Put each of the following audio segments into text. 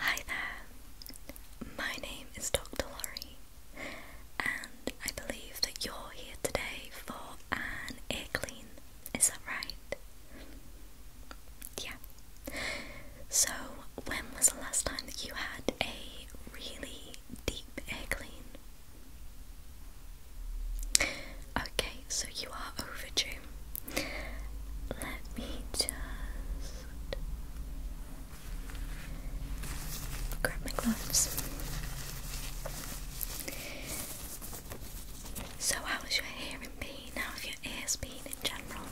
Hi there, my name is Dr. Laurie, and I believe that you're here today for an ear clean. Is that right? Yeah. So, when was the last time that you had a really deep ear clean? Okay, so you are overdue. Let me just grab my gloves. So, how your hearing been? How have your ears been in general?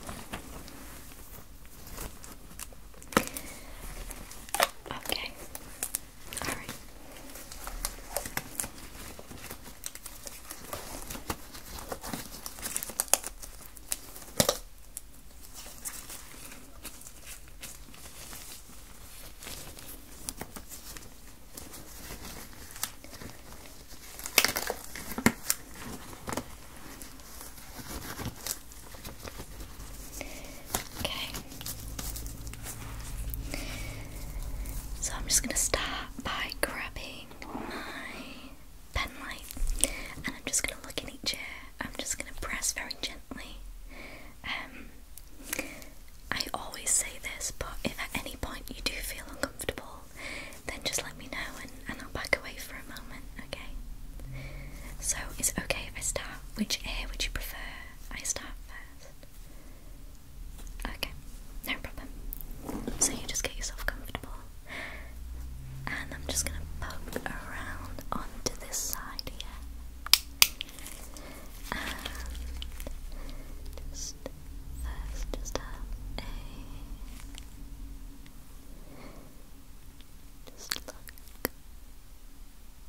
Okay. Alright. Okay. So I'm just going to start by grabbing my pen light and I'm just going to look in each ear. I'm just going to press very gently. Um, I always say this, but if at any point you do feel uncomfortable, then just let me know and, and I'll back away for a moment, okay? So, is it okay if I start? Which ear would you prefer I start first? Okay, no problem. So you just get yourself comfortable. And I'm just gonna poke around onto this side here. just first just a just look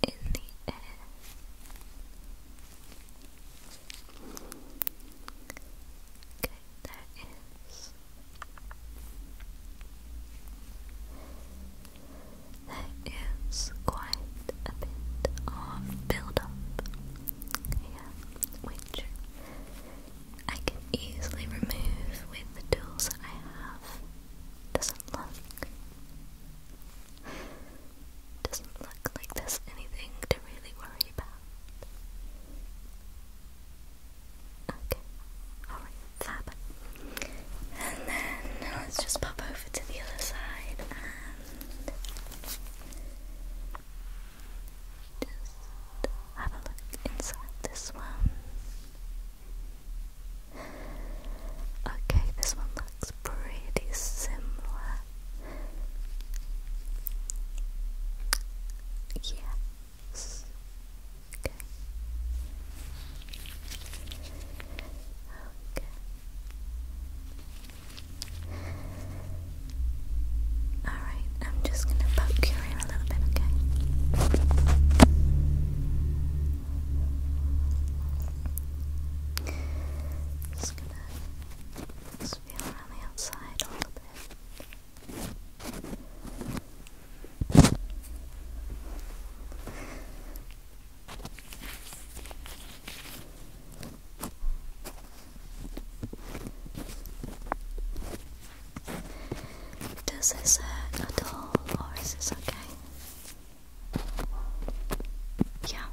in the air Okay, there is. quite a bit of build here, which I can easily remove with the tools I have. Doesn't look doesn't look like there's anything to really worry about. Okay, alright, And then let's just pop over to the other side and just have a look inside this one. Okay, this one looks pretty similar Yes. Okay. Okay. All right, I'm just gonna poke your ear a little bit, okay? Just gonna just feel around Does this hurt at all, or is this okay? Yeah.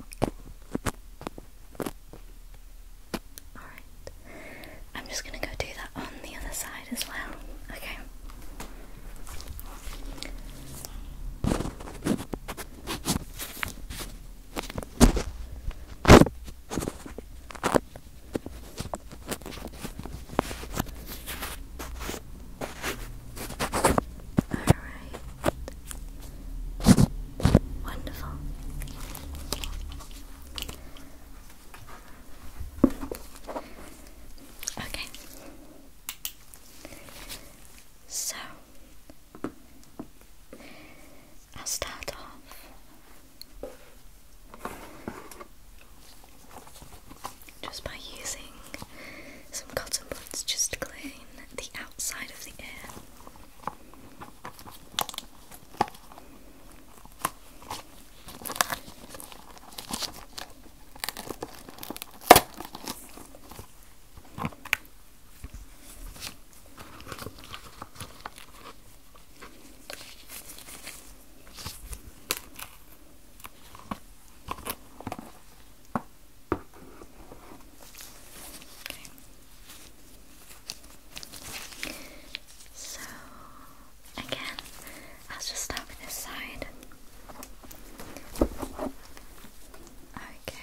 Okay. Alright. I'm just gonna go do that on the other side as well. Okay. All right. Wonderful. Okay. So I'll start off just by using some cotton buds just clean the outside of the ear. So again, I'll just start with this side. Okay.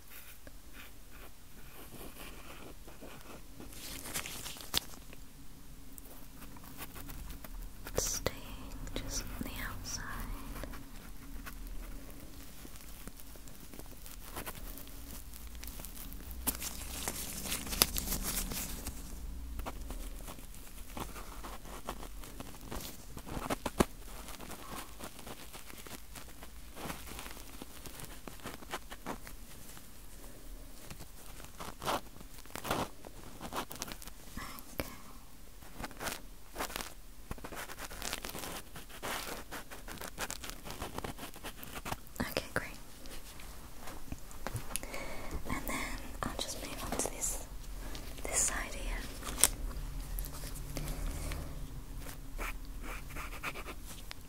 Staying just on the outside. Okay, great. And then I'll just move on to this this side here.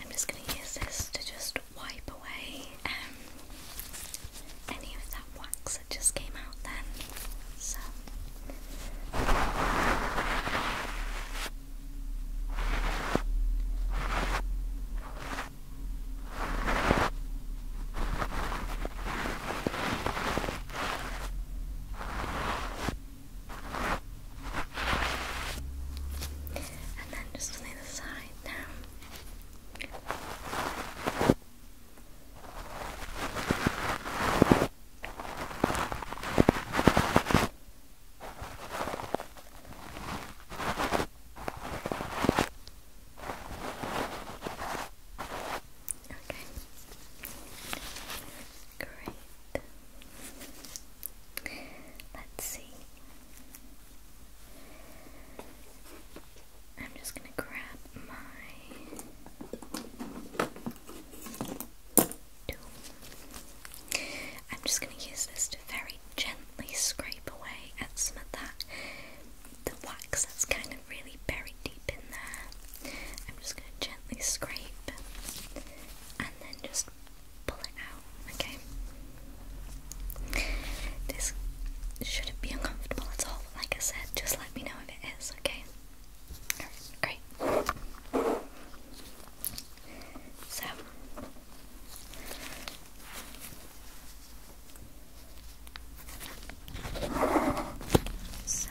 I'm just going to use this to just wipe away um, any of that wax that just came out then. So. And then just the other side now. Okay. Great. Let's see. I'm just going to grab my tool. I'm just going to use this to very gently scrape away at some of that the wax that's kind of really buried I'm just going to gently scrape and then just pull it out, okay? This shouldn't be uncomfortable at all, like I said, just let me know if it is, okay? great. So. So,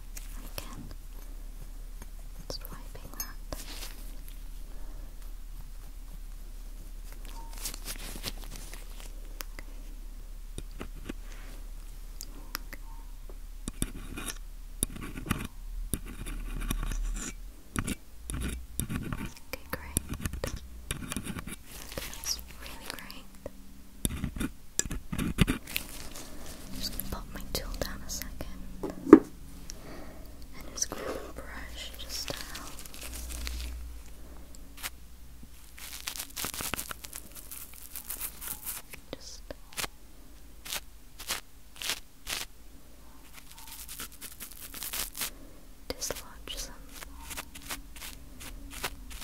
again, swiping that. Okay, great. That's really great just gonna pop my tool down a second. And just grab a brush just to Just dislodge some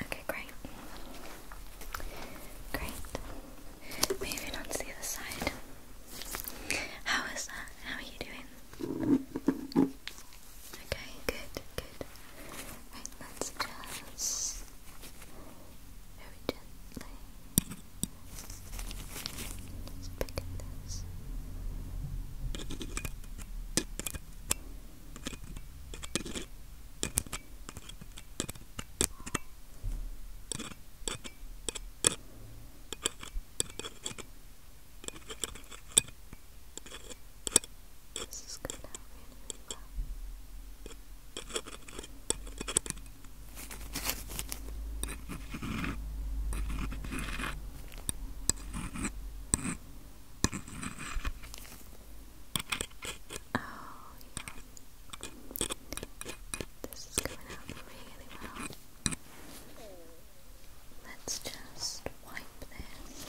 Okay, great. Great. Moving on to the other side. How is that? How are you doing? Okay, good, good. Right, let's just very gently. Just picking this. This is going to help really well. Oh, this is coming out really well. Let's just wipe this.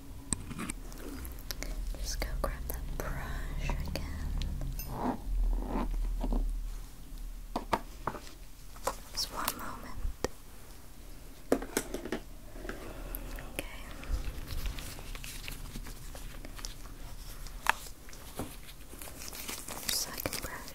Just go grab that brush again. Just one moment. Okay. Second brush.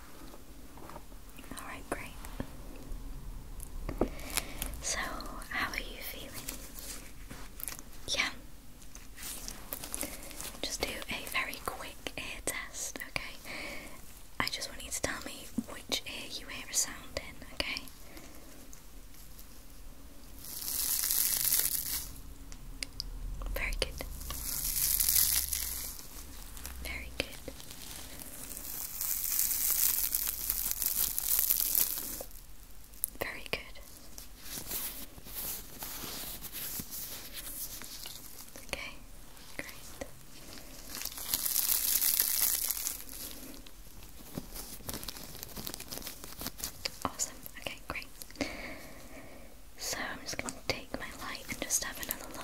Alright, great. So, how are you feeling? Yeah. Just do a very quick ear test, okay? I just want you to tell me which ear you hear a sound in, okay? Very good. Very good. Very good. Okay, great. Awesome. Okay, great. So I'm just going to take my light and just have another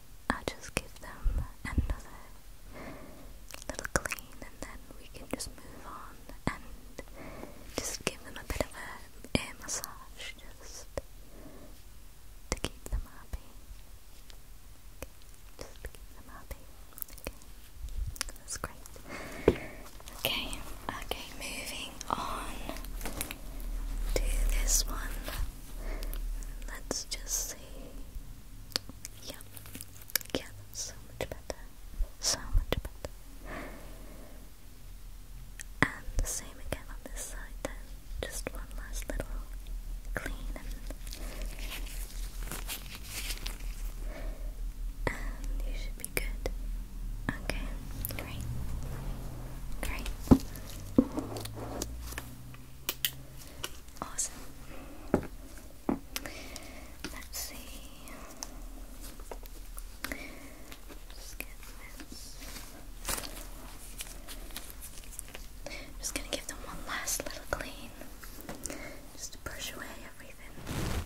I'll just give them another little clean and then we can just move on and just give them a bit of a massage just to keep them happy. just keep them happy. Okay. That's great. Okay, okay, moving on to this one. Let's just see. Yeah, yeah, so much better. So much better. And the same again on this side then. Just one last little clean and you should be good. Okay, great. Great. Awesome. Let's see. Just gonna give them one last little clean. Just to brush away everything.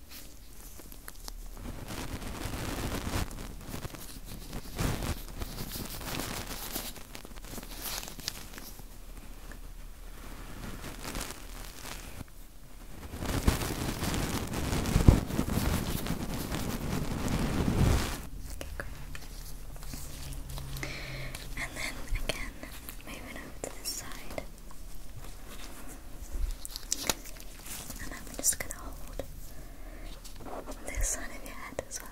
great. And then again, moving over to this side. And I'm just gonna hold this side of your head as well,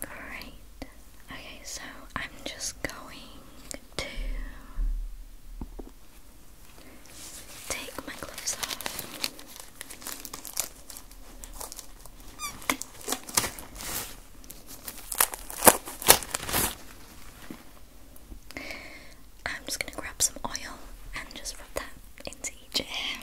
Great. Okay, so I'm just going to take my gloves off. I'm just going to grab some oil and just rub that into each hair.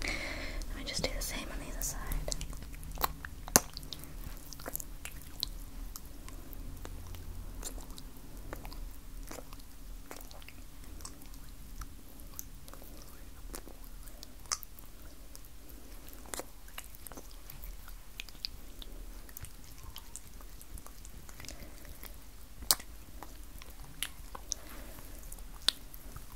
Let me just do the same on the other side.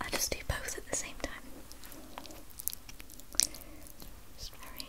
I just do both at the same time. Just very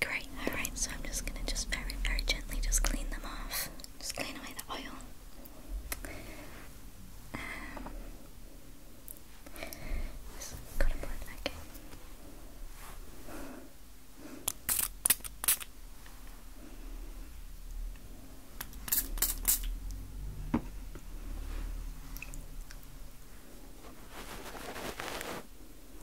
Great, alright, so I'm just gonna just very, very gently just clean them off. Just clean away the oil. Um, just gotta put it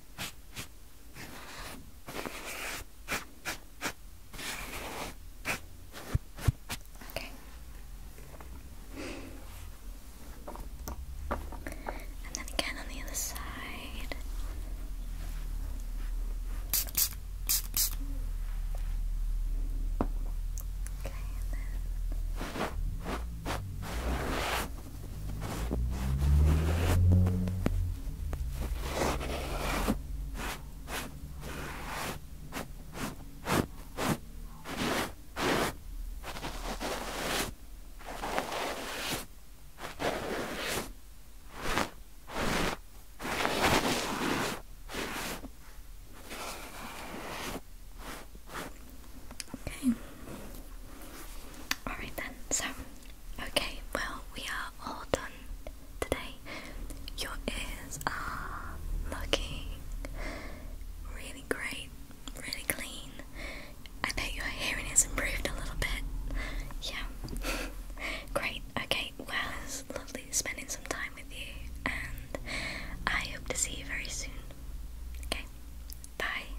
Okay. And then again on the other side. Okay, and then Okay. Alright then, so Okay, well, we are all done today. Your ears are looking really great, really clean. I bet your hearing has improved a little bit. Yeah. great. Okay, well, it's lovely spending some time with you, and I hope to see you very soon. Okay, bye.